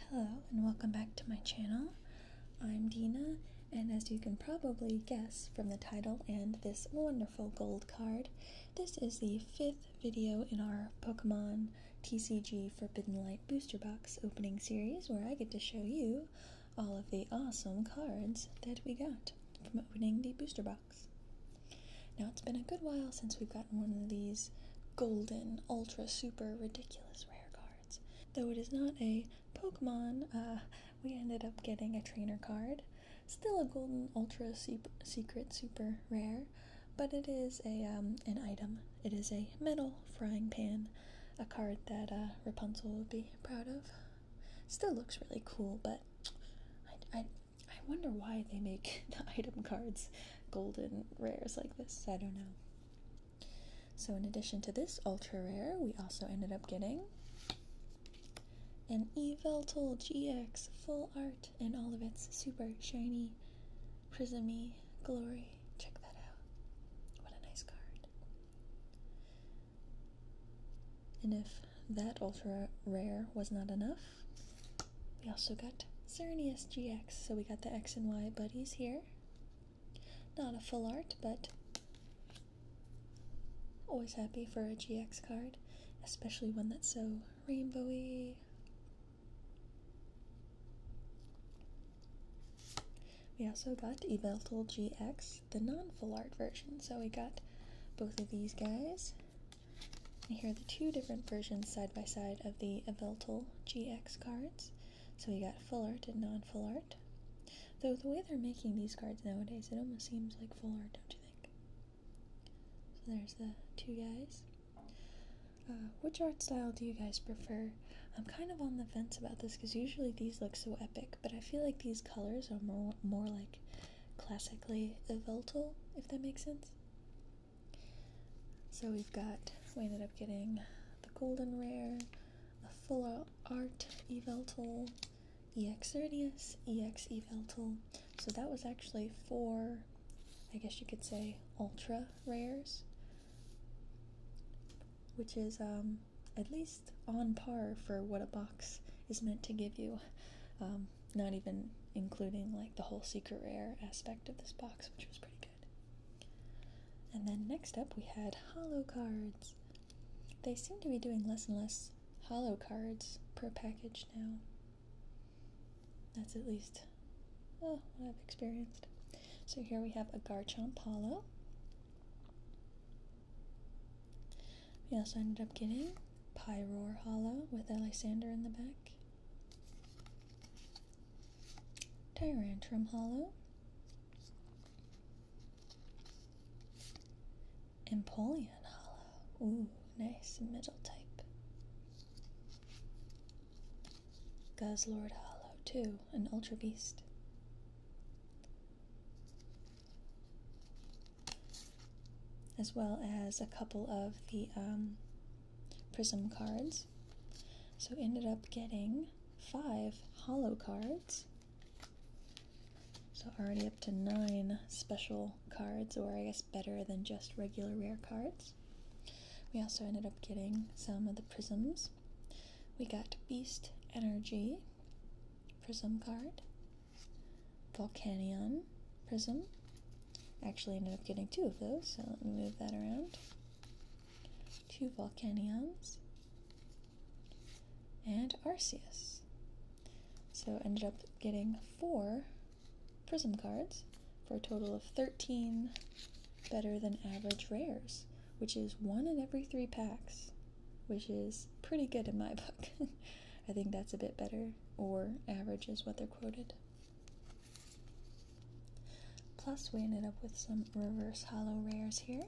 Hello and welcome back to my channel. I'm Dina, and as you can probably guess from the title and this wonderful gold card, this is the fifth video in our Pokemon TCG Forbidden Light Booster Box opening series where I get to show you all of the awesome cards that we got from opening the booster box. Now, it's been a good while since we've one of these golden, ultra, super, ridiculous rare cards. Though it is not a Pokemon, uh, we ended up getting a trainer card. Still a golden, ultra, sup secret, super rare, but it is a um, an item. It is a metal frying pan, a card that uh, Rapunzel would be proud of. Still looks really cool, but I, I wonder why they make the item cards golden rares like this. I don't know. So, in addition to this ultra rare, we also ended up getting an Eveltal GX full art in all of its super shiny, prismy glory. Check that out. What a nice card. And if that ultra rare was not enough, we also got Xerneas GX, so we got the X and Y buddies here. Not a full art, but always happy for a GX card, especially one that's so rainbowy. We also got Eveltal GX, the non-full art version, so we got both of these guys here are the two different versions side by side of the Eveltal GX cards. So we got full art and non full art. Though the way they're making these cards nowadays, it almost seems like full art, don't you think? So there's the two guys. Uh, which art style do you guys prefer? I'm kind of on the fence about this because usually these look so epic, but I feel like these colors are more more like classically Eveltal, if that makes sense. So we've got, we ended up getting the Golden Rare, a Full Art Eveltul, EX Erdius, EX Eveltal. So that was actually four, I guess you could say, ultra rares, which is um, at least on par for what a box is meant to give you. Um, not even including like the whole secret rare aspect of this box, which was pretty and then next up we had hollow cards. They seem to be doing less and less hollow cards per package now. That's at least oh, what I've experienced. So here we have a Garchomp hollow. We also ended up getting Pyroar hollow with Alexander in the back. Tyrantrum Hollow, Empoleon Hollow. Ooh, nice middle type. Guzzlord Hollow, too, an Ultra Beast. As well as a couple of the um, Prism cards so ended up getting five hollow cards. So already up to nine special cards, or I guess better than just regular rare cards. We also ended up getting some of the prisms. We got Beast Energy Prism card, Volcanion Prism, actually ended up getting two of those, so let me move that around. Two Volcanions and Arceus. So ended up getting four Prism cards for a total of 13 better than average rares, which is one in every three packs, which is pretty good in my book. I think that's a bit better, or average is what they're quoted. Plus, we ended up with some reverse hollow rares here.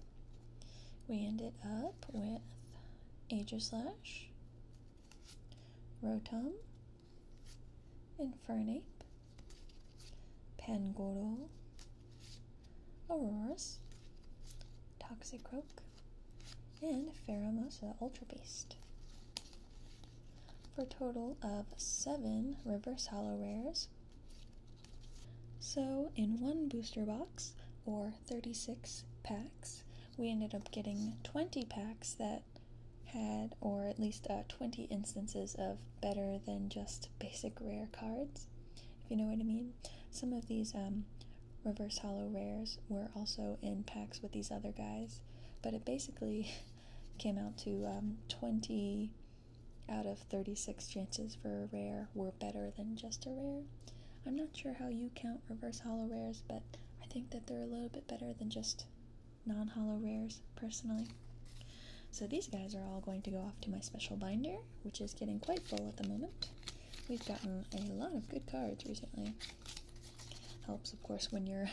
We ended up with Slash, Rotom, Infernape, Pangoro, Auroras, Toxicroak, and Pheromosa Ultra Beast for a total of seven reverse hollow rares. So, in one booster box, or 36 packs, we ended up getting 20 packs that had, or at least uh, 20 instances of better than just basic rare cards, if you know what I mean. Some of these um, reverse hollow rares were also in packs with these other guys, but it basically Came out to um, 20 out of 36 chances for a rare were better than just a rare. I'm not sure how you count reverse hollow rares, but I think that they're a little bit better than just non hollow rares, personally. So these guys are all going to go off to my special binder, which is getting quite full at the moment. We've gotten a lot of good cards recently. Helps, of course, when you're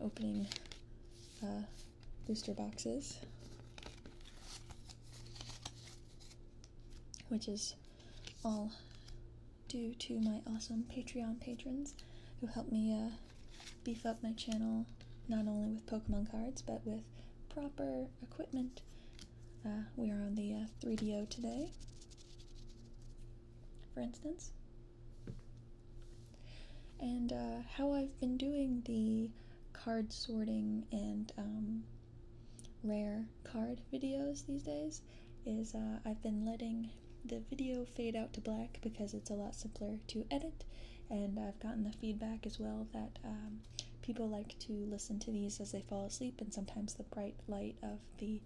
opening uh, booster boxes, which is all due to my awesome Patreon patrons who help me uh, beef up my channel not only with Pokemon cards but with proper equipment. Uh, we are on the 3DO today, for instance and uh, how I've been doing the card sorting and um, rare card videos these days is uh, I've been letting the video fade out to black because it's a lot simpler to edit, and I've gotten the feedback as well that um, people like to listen to these as they fall asleep, and sometimes the bright light of the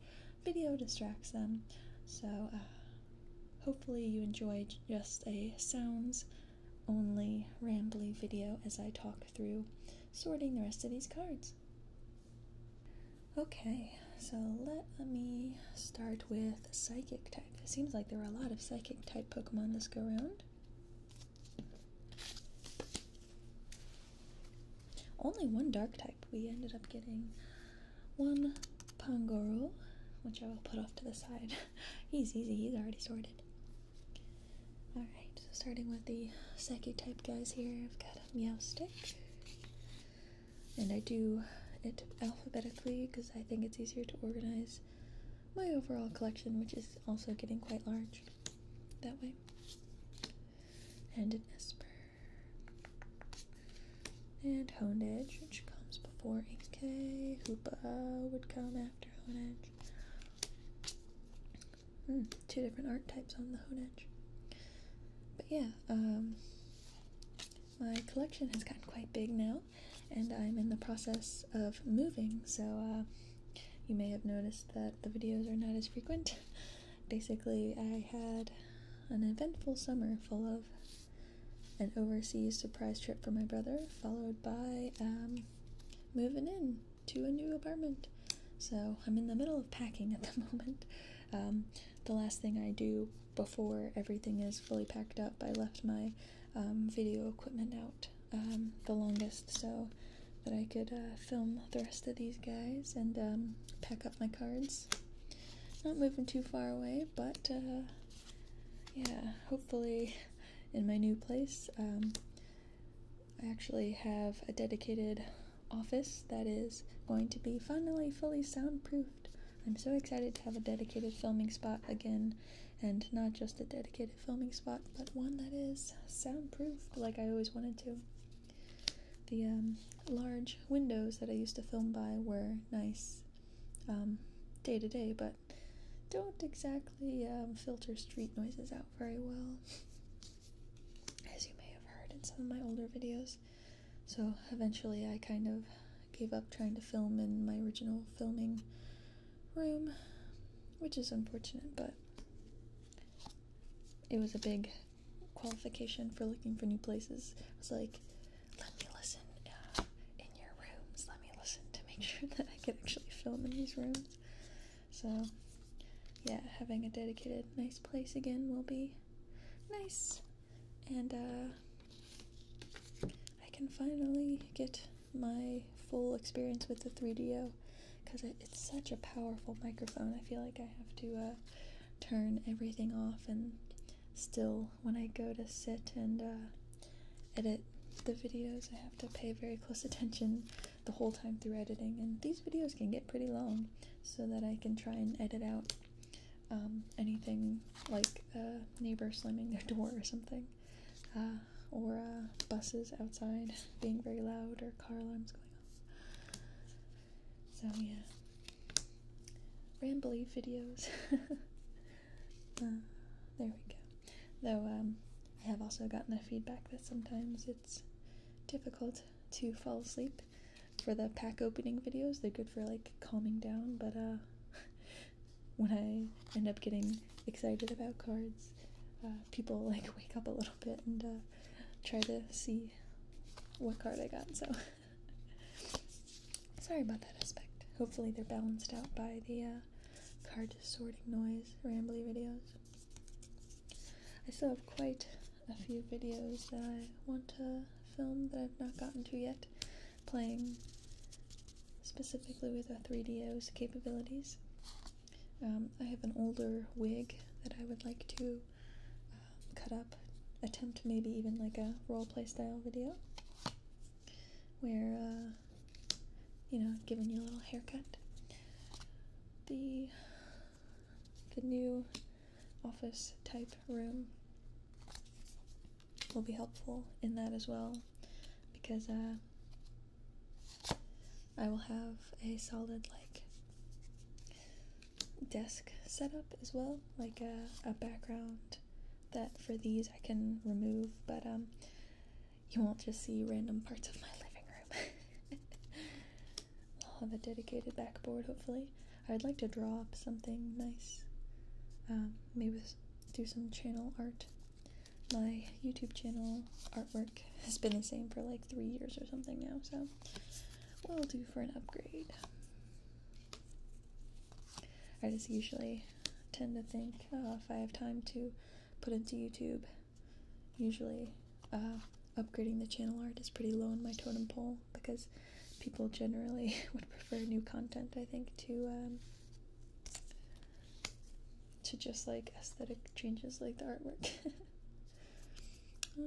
video distracts them. So, uh, hopefully, you enjoyed just a sounds only rambly video as I talk through sorting the rest of these cards. Okay, so let me start with psychic type. It seems like there are a lot of psychic type Pokemon this go round. Only one dark type. We ended up getting one Pangoro, which I will put off to the side. he's easy, he's already sorted. Alright, so starting with the Saki type guys here, I've got a meow Meowstic. And I do it alphabetically because I think it's easier to organize my overall collection, which is also getting quite large that way. And an Esper. And Honed Edge, which comes before Inkay. Hoopa would come after Honed Edge. Hmm, two different archetypes on the Honed Edge. But yeah, um, my collection has gotten quite big now, and I'm in the process of moving, so uh, you may have noticed that the videos are not as frequent. Basically, I had an eventful summer full of an overseas surprise trip for my brother, followed by um, moving in to a new apartment. So I'm in the middle of packing at the moment. Um, the last thing I do before everything is fully packed up, I left my um, video equipment out the longest so that I could uh, film the rest of these guys and pack up my cards. Not moving too far away, but uh, yeah, hopefully in my new place, um, I actually have a dedicated office that is going to be finally fully soundproofed. I'm so excited to have a dedicated filming spot again, and not just a dedicated filming spot, but one that is soundproofed like I always wanted to the um, large windows that I used to film by were nice um, day to day, but don't exactly um, filter street noises out very well, as you may have heard in some of my older videos. So eventually, I kind of gave up trying to film in my original filming room, which is unfortunate, but it was a big qualification for looking for new places. I was like, let me listen uh, in your rooms. Let me listen to make sure that I can actually film in these rooms. So, yeah, having a dedicated, nice place again will be nice. And uh, I can finally get my full experience with the 3DO because it's such a powerful microphone. I feel like I have to. Uh, turn everything off and still when I go to sit and uh, edit the videos I have to pay very close attention the whole time through editing and these videos can get pretty long so that I can try and edit out um, anything like a neighbor slamming their door or something uh, or uh, buses outside being very loud or car alarms going off so yeah, rambley videos. Uh, there we go. Though um, I have also gotten the feedback that sometimes it's difficult to fall asleep for the pack opening videos. They're good for like calming down, but uh, when I end up getting excited about cards, uh, people like wake up a little bit and try to see what card I got. So. Sorry about that aspect. Hopefully, they're balanced out by the uh, card sorting noise rambly videos. I still have quite a few videos that I want to film that I've not gotten to yet, playing specifically with our 3DO's capabilities. Um, I have an older wig that I would like to um, cut up attempt maybe even like a role play style video where uh, you know giving you a little haircut the the new office type room will be helpful in that as well because uh, I will have a solid like desk setup as well, like a, background that for these I can remove, but um, you won't just see random parts of my living room. I'll have a dedicated backboard hopefully. I'd like to draw up something nice. Um, maybe do some channel art. My YouTube channel artwork has been the same for like three years or something now, so will do for an upgrade. I just usually tend to think uh, if I have time to put into YouTube, usually uh, upgrading the channel art is pretty low on my totem pole because people generally would prefer new content, I think, to um, to just like aesthetic changes like the artwork. Uh,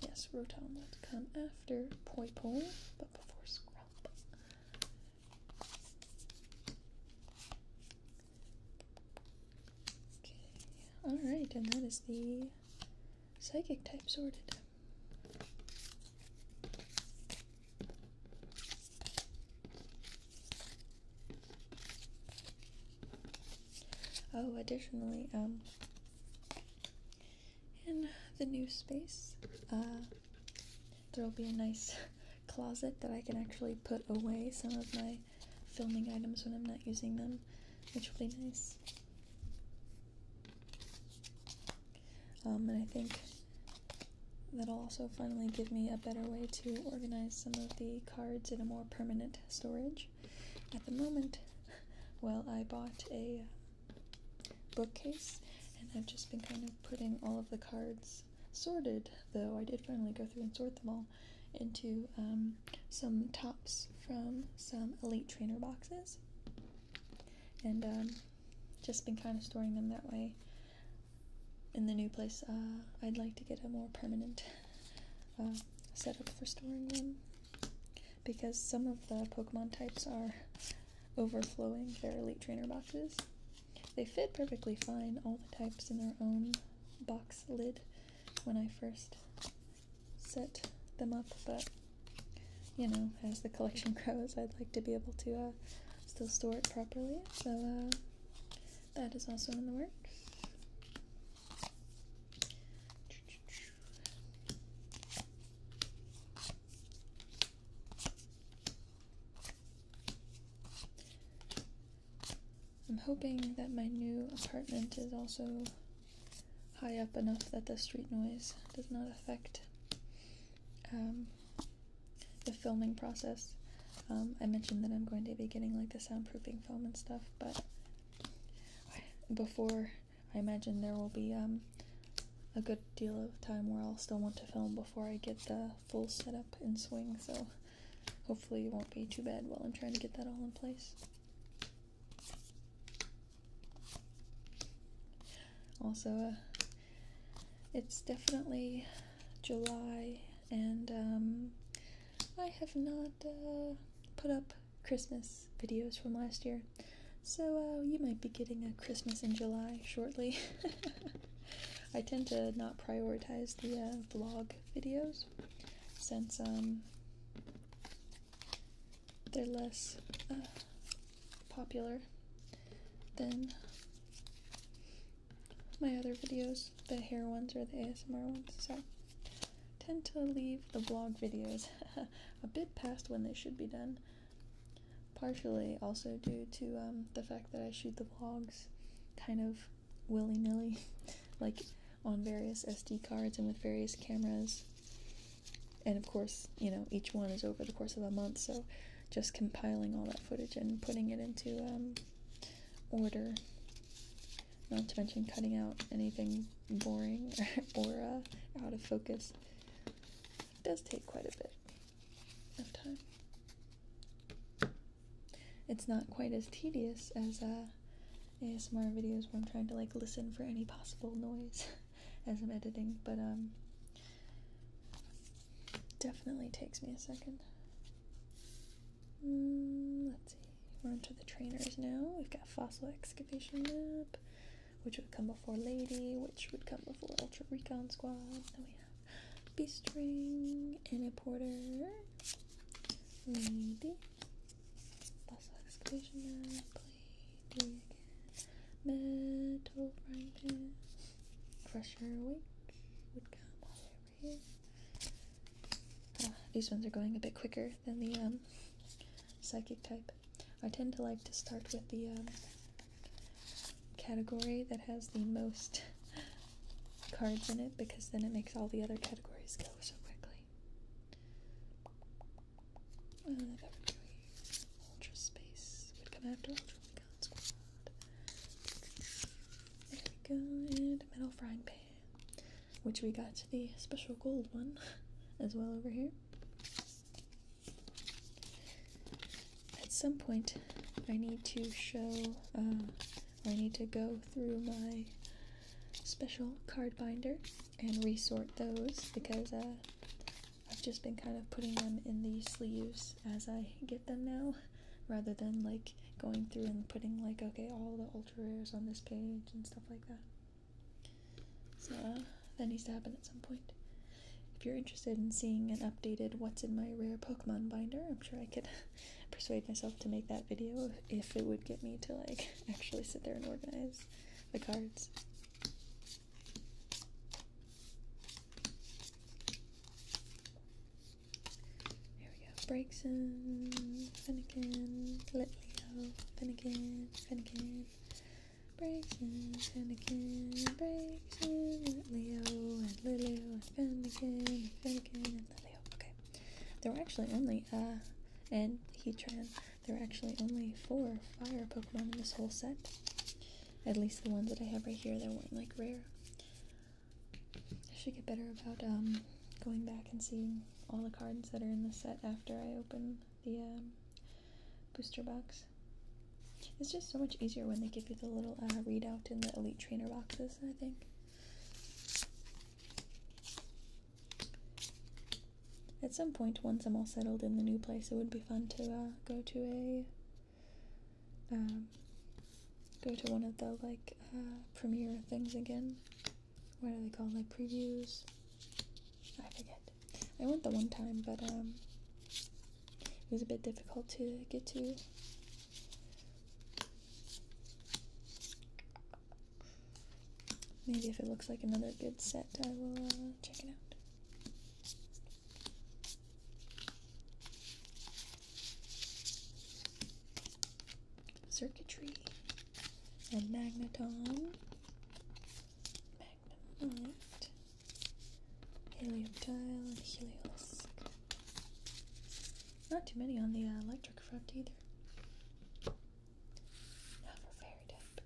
yes, Rotom would come after Poipole, but before Scrub. Okay, alright, and that is the psychic type sorted. Oh, additionally, um, in the new space. Uh, there'll be a nice closet that I can actually put away some of my filming items when I'm not using them, which will be nice. Um, and I think that'll also finally give me a better way to organize some of the cards in a more permanent storage at the moment. Well, I bought a uh, bookcase and I've just been kind of putting all of the cards sorted, though I did finally go through and sort them all into um, some tops from some Elite Trainer boxes. And um, just been kind of storing them that way. In the new place, uh, I'd like to get a more permanent uh, setup for storing them because some of the Pokemon types are overflowing their Elite Trainer boxes. They fit perfectly fine, all the types in their own box lid when I first set them up, but you know, as the collection grows, I'd like to be able to uh, still store it properly. So uh, that is also in the works. I'm hoping that my new apartment is also high up enough that the street noise does not affect um, the filming process. Um, I mentioned that I'm going to be getting like the soundproofing film and stuff, but before I imagine there will be um, a good deal of time where I'll still want to film before I get the full setup in swing, so hopefully it won't be too bad while I'm trying to get that all in place. Also, uh, it's definitely July, and um, I have not uh, put up Christmas videos from last year. So uh, you might be getting a Christmas in July shortly. I tend to not prioritize the uh, vlog videos since um, they're less uh, popular than my other videos, the hair ones or the ASMR ones. So tend to leave the vlog videos a bit past when they should be done. Partially also due to um, the fact that I shoot the vlogs kind of willy nilly, like on various SD cards and with various cameras. And of course, you know, each one is over the course of a month, so just compiling all that footage and putting it into um, order not to mention cutting out anything boring or out of focus. does take quite a bit of time. It's not quite as tedious as uh, ASMR videos where I'm trying to like listen for any possible noise as I'm editing, but um, definitely takes me a second. Mm, let's see. We're onto the trainers now. We've got fossil excavation map, which would come before Lady, which would come before Ultra Recon Squad. Then we have Beast Ring, a Porter, Lady, fossil excavation map, Lady again, Metal Frying Crusher Awake would come all over here. these ones are going a bit quicker than the um, psychic type. I tend to like to start with the um, category that has the most cards in it because then it makes all the other categories go so quickly. Uh, Ultra Space would Ultra Recon Squad. There we go, and Metal Frying Pan which we got the special gold one as well over here. At some point, I need to show, uh, I need to go through my special card binder and resort those because uh, I've just been kind of putting them in these sleeves as I get them now rather than like going through and putting like okay all the ultra rares on this page and stuff like that. So that needs to happen at some point. If you're interested in seeing an updated What's in My Rare Pokemon binder, I'm sure I could persuade myself to make that video if it would get me to like actually sit there and organize the cards we have Brakeson, Finnegan, Litleo, Finnegan, Finnegan, Brakeson, Finnegan, Brakeson, Litleo, and Lulu, and Finnegan, and Finnegan, and Lilio. Okay. There were actually only, uh, and Heatran, there were actually only four fire Pokemon in this whole set. At least the ones that I have right here, that weren't like rare. I should get better about um going back and seeing all the cards that are in the set after I open the um, booster box. It's just so much easier when they give you the little uh, readout in the Elite Trainer boxes, I think. At some point, once I'm all settled in the new place, it would be fun to uh, go to a um, go to one of the like uh, premiere things again what are they called? Like previews? I forget. I went the one time, but um, it was a bit difficult to get to. Maybe if it looks like another good set, I will uh, check it out circuitry and magneton, magnemite, helium and helios. Not too many on the uh, electric front either. Not type.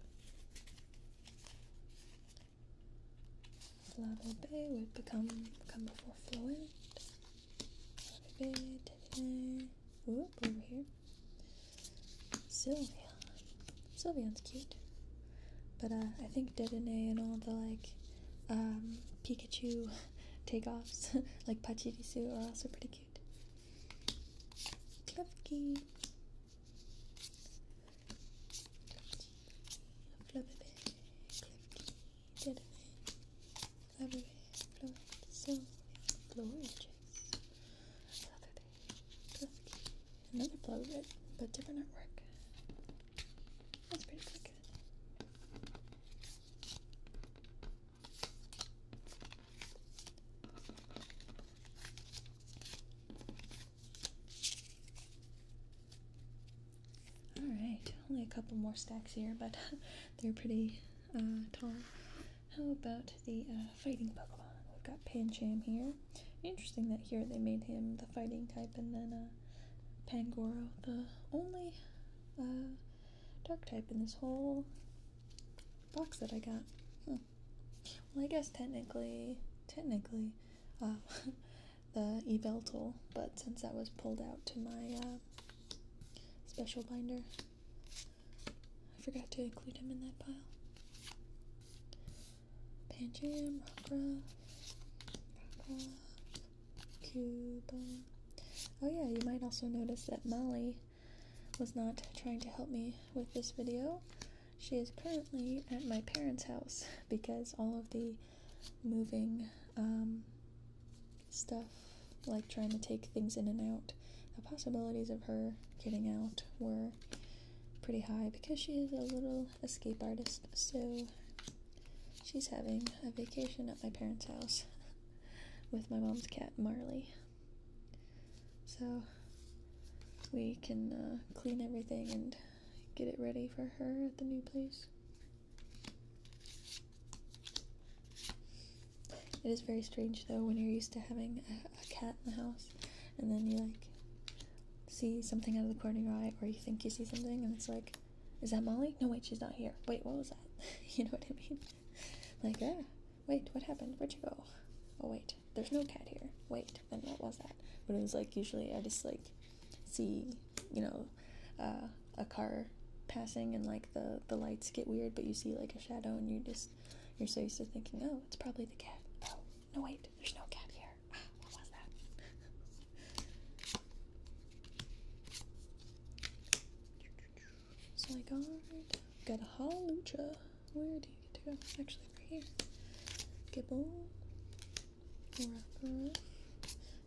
Flabble would become come before Flowend. A over here. Sylveon. Sylveon's cute. But I think Dedenne and all the like Pikachu takeoffs, like Pachirisu, are also pretty cute. February, blow it, so blow edges. Another blow but different network. That's pretty, pretty good. Alright, only a couple more stacks here, but they're pretty uh, tall. How about the uh, fighting Pokemon? We've got Pancham here. Interesting that here they made him the fighting type, and then uh, Pangoro, the only uh, dark type in this whole box that I got. Well, I guess technically, technically, uh, the Eveltal, but since that was pulled out to my special binder, I forgot to include him in that pile. Panjam, Rockruff, Rockruff, Cuba. Oh yeah, you might also notice that Molly was not trying to help me with this video. She is currently at my parents' house because all of the moving um, stuff, like trying to take things in and out, the possibilities of her getting out were pretty high because she is a little escape artist. So she's having a vacation at my parents' house with my mom's cat, Marley. So we can uh, clean everything and get it ready for her at the new place. It is very strange though when you're used to having a, cat in the house and then you like see something out of the corner of your eye or you think you see something and it's like, is that Molly? No, wait, she's not here. Wait, what was that? you know what I mean? Like, ah, wait, what happened? Where'd you go? Oh, wait, there's no cat here. Wait, then what was that? But it was like usually I just like see, you know, uh, a car passing and like the the lights get weird, but you see like a shadow and you just you're so used to thinking, oh, it's probably the cat. Oh no, wait, there's no cat here. Ah, what was that? so I got got a halucha. Where do you get to go? Actually, right here. Gibble, Rapper,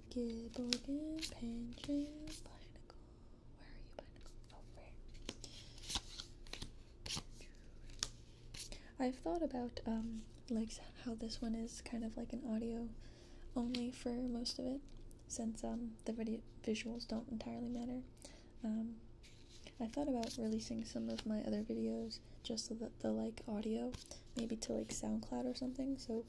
Gibble again, Panjang, Pinnacle. Oh, I've thought about um like how this one is kind of like an audio only for most of it, since um the video visuals don't entirely matter. Um, I thought about releasing some of my other videos just so that the like audio, maybe to like SoundCloud or something. So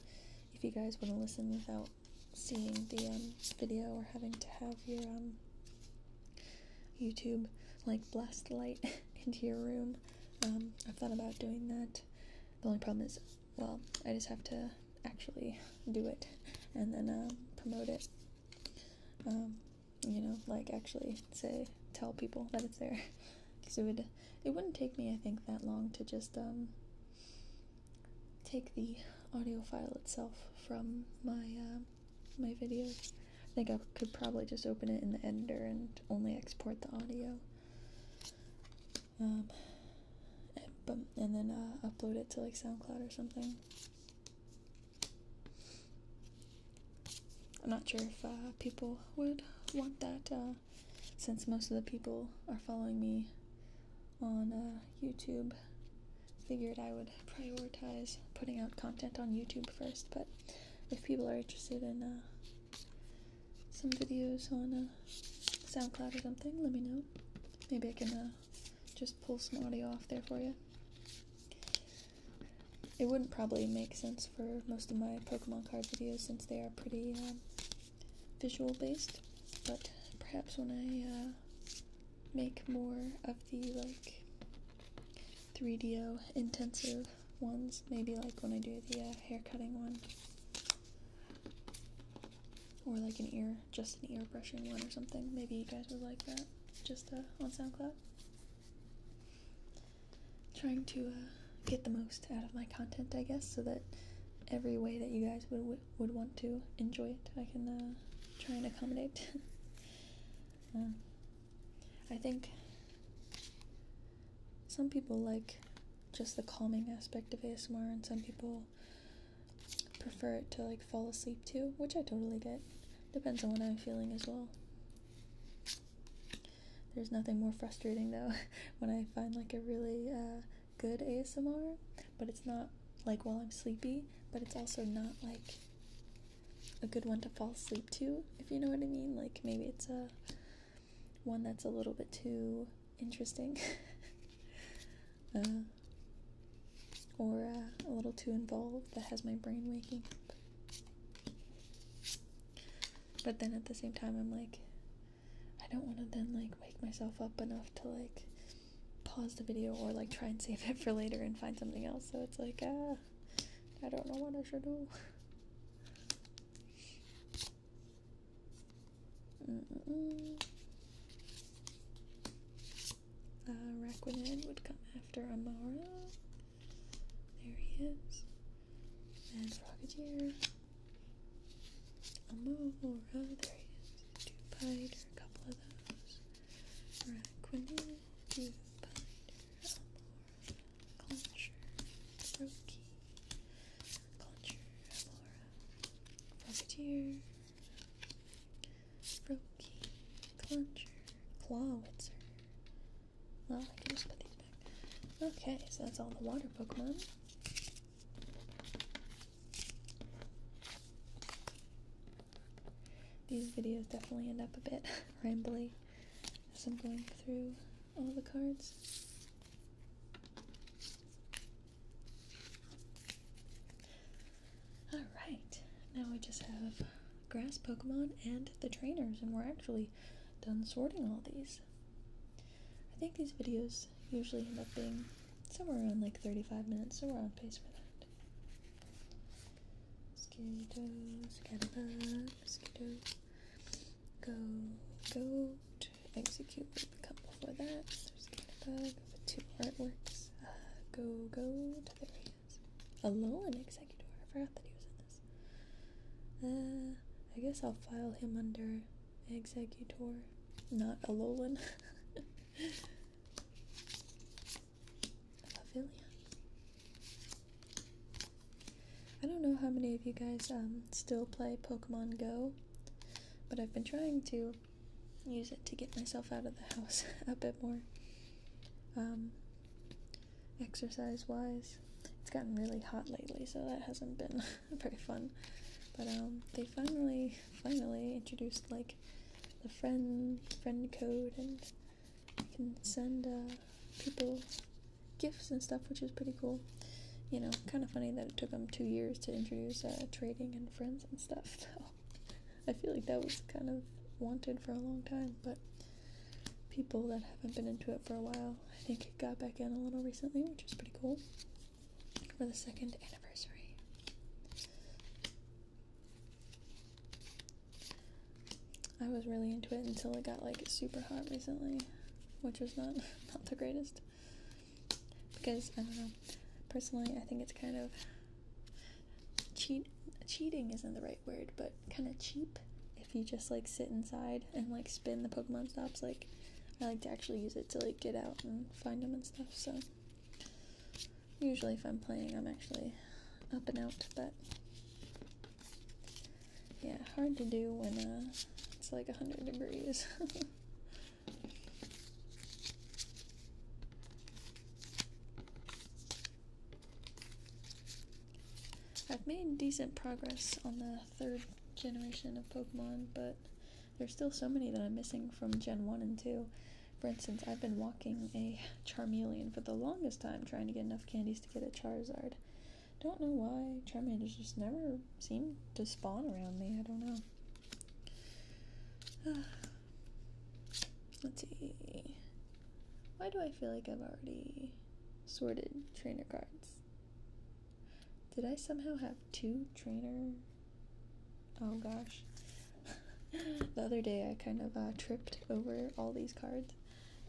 if you guys want to listen without seeing the um, video or having to have your um, YouTube like blast light into your room. Um, I've thought about doing that. The only problem is, well, I just have to actually do it and then um, promote it. Um, you know, like actually say tell people that it's there because it would it wouldn't take me I think that long to just um take the audio file itself from my uh, my videos. I think I could probably just open it in the editor and only export the audio. Um, and, then uh, upload it to like SoundCloud or something. I'm not sure if uh, people would want that uh, since most of the people are following me on uh, YouTube. Figured I would prioritize putting out content on YouTube first, but if people are interested in uh, some videos on uh, SoundCloud or something, let me know. Maybe I can just pull some audio off there for you. It wouldn't probably make sense for most of my Pokemon card videos since they are pretty um, visual based, but perhaps when I uh, make more of the like 3DO intensive ones, maybe like when I do the uh, hair cutting one, or like an ear, just an ear brushing one or something, maybe you guys would like that just uh, on SoundCloud. Trying to get the most out of my content, I guess, so that every way that you guys would would want to enjoy it, I can uh, try and accommodate. Uh, I think some people like just the calming aspect of ASMR, and some people prefer it to like fall asleep to, which I totally get. Depends on what I'm feeling as well. There's nothing more frustrating though when I find like a really uh, good ASMR, but it's not like while I'm sleepy, but it's also not like a good one to fall asleep to, if you know what I mean. Like maybe it's a one that's a little bit too interesting. Uh, or uh, a little too involved that has my brain waking up. But then at the same time, I'm like, I don't want to then like wake myself up enough to like pause the video or like try and save it for later and find something else. So it's like, uh, I don't know what I should do. Mm -mm. would come after Amara. There he is. And Frogadier. A there is two piter, a couple of those. Raquinil, two piter, Elmora, Clencher, Brokey, Clencher, Elmora, Rocketeer, Brokey, Clawitzer. Well, I can just put these back. Okay, so that's all the water Pokemon. These videos definitely end up a bit rambly as I'm going through all the cards. Alright, now we just have grass Pokemon and the trainers, and we're actually done sorting all these. I think these videos usually end up being somewhere around like 35 minutes, so we're on pace for that. Mosquito, scatterbug, mosquito, go, goat, execute would become before that. There's scatterbug, two artworks, uh, go, go, there he is. a Alone executor, I forgot that he was in this. Uh, I guess I'll file him under Executor, not Alolan. Pavilion. I don't know how many of you guys um, still play Pokemon Go, but I've been trying to use it to get myself out of the house a bit more. Um, exercise wise. It's gotten really hot lately, so that hasn't been Pretty fun. But um, they finally, finally introduced like the friend friend code, and you can send uh, people gifts and stuff, which is pretty cool. You know, kind of funny that it took them two years to introduce uh, trading and friends and stuff. Though I feel like that was kind of wanted for a long time, but people that haven't been into it for a while, I think got back in a little recently, which is pretty cool for the second anniversary. I was really into it until it got like super hot recently, which was not not the greatest. Because I don't know, personally, I think it's kind of cheat. Cheating isn't the right word, but kind of cheap if you just like sit inside and like spin the Pokemon stops. Like I like to actually use it to like get out and find them and stuff. So usually, if I'm playing, I'm actually up and out. But yeah, hard to do when uh, it's like hundred degrees. I've made decent progress on the third generation of Pokemon, but there's still so many that I'm missing from Gen 1 and 2. For instance, I've been walking a Charmeleon for the longest time trying to get enough candies to get a Charizard. Don't know why Charmeleons just never seem to spawn around me. I don't know. Let's see. Why do I feel like I've already sorted trainer cards? Did I somehow have two trainer? Oh gosh. the other day I kind of uh, tripped over all these cards,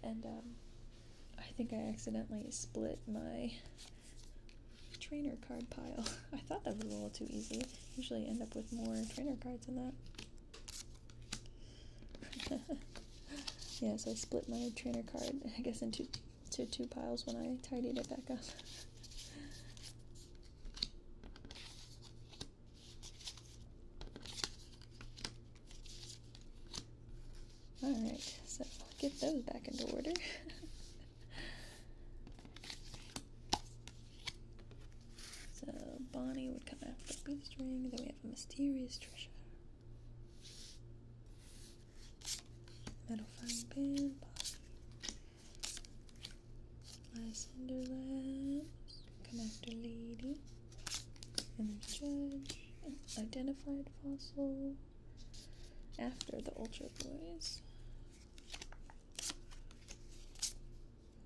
and um, I think I accidentally split my trainer card pile. I thought that was a little too easy. Usually end up with more trainer cards than that. yeah, so I split my trainer card, I guess, into to two piles when I tidied it back up. Alright, so get those back into order. so Bonnie would come after Ring, then we have a mysterious treasure metal fine pin, body, Lysander Connector Lady, and Judge, Identified Fossil, after the Ultra Boys.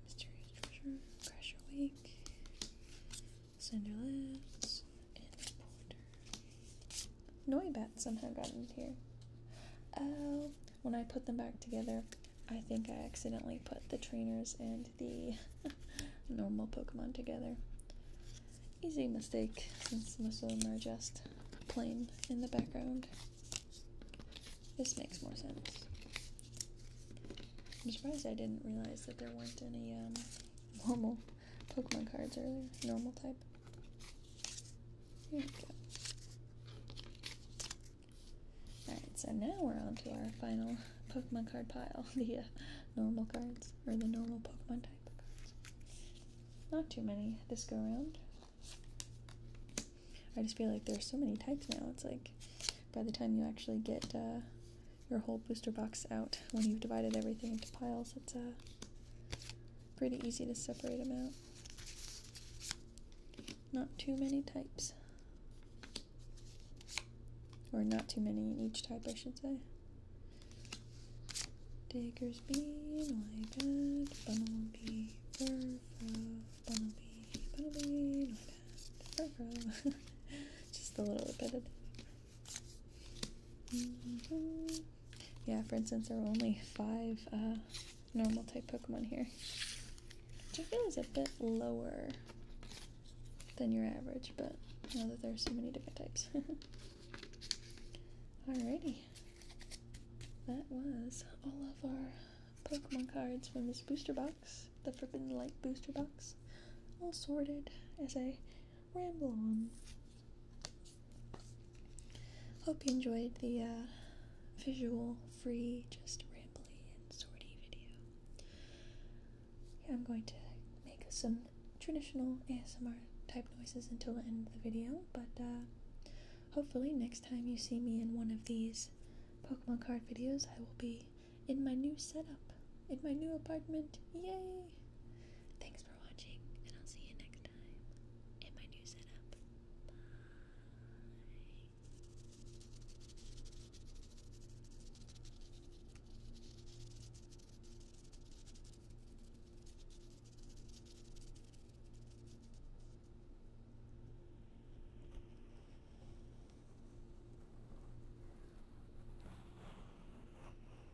Mysterious Treasure, Crash Awake, Cinder and Porter. Noibat somehow got in here. Oh, when I put them back together, I think I accidentally put the trainers and the normal Pokemon together. Easy mistake, since most of them are just plain in the background. This makes more sense. I'm surprised I didn't realize that there weren't any um, normal Pokemon cards earlier. Normal type. Here we go. Alright, so now we're on to our final Pokemon card pile. The uh, normal cards, or the normal Pokemon type cards. Not too many this go around. I just feel like there's so many types now. It's like by the time you actually get uh, your whole booster box out, when you've divided everything into piles, it's a uh, Pretty easy to separate them out. Not too many types. Or not too many in each type, I should say. Digger's bean, like that. Bunnelby, furfro. Bunnelby, Bunnelby, like that. Just a little bit of Mm-hmm. Yeah, for instance, there are only five uh, normal type Pokemon here, which I feel is a bit lower than your average, but I know that there are so many different types. Alrighty, that was all of our Pokemon cards from this booster box, the Forbidden Light booster box, all sorted as I ramble on. Hope you enjoyed the uh, visual, free, just rambly and sorty video. I'm going to make some traditional ASMR type noises until the end of the video, but uh, hopefully next time you see me in one of these Pokemon card videos, I will be in my new setup, in my new apartment. Yay! Thanks for watching, and I'll see you next time in my new setup. Bye.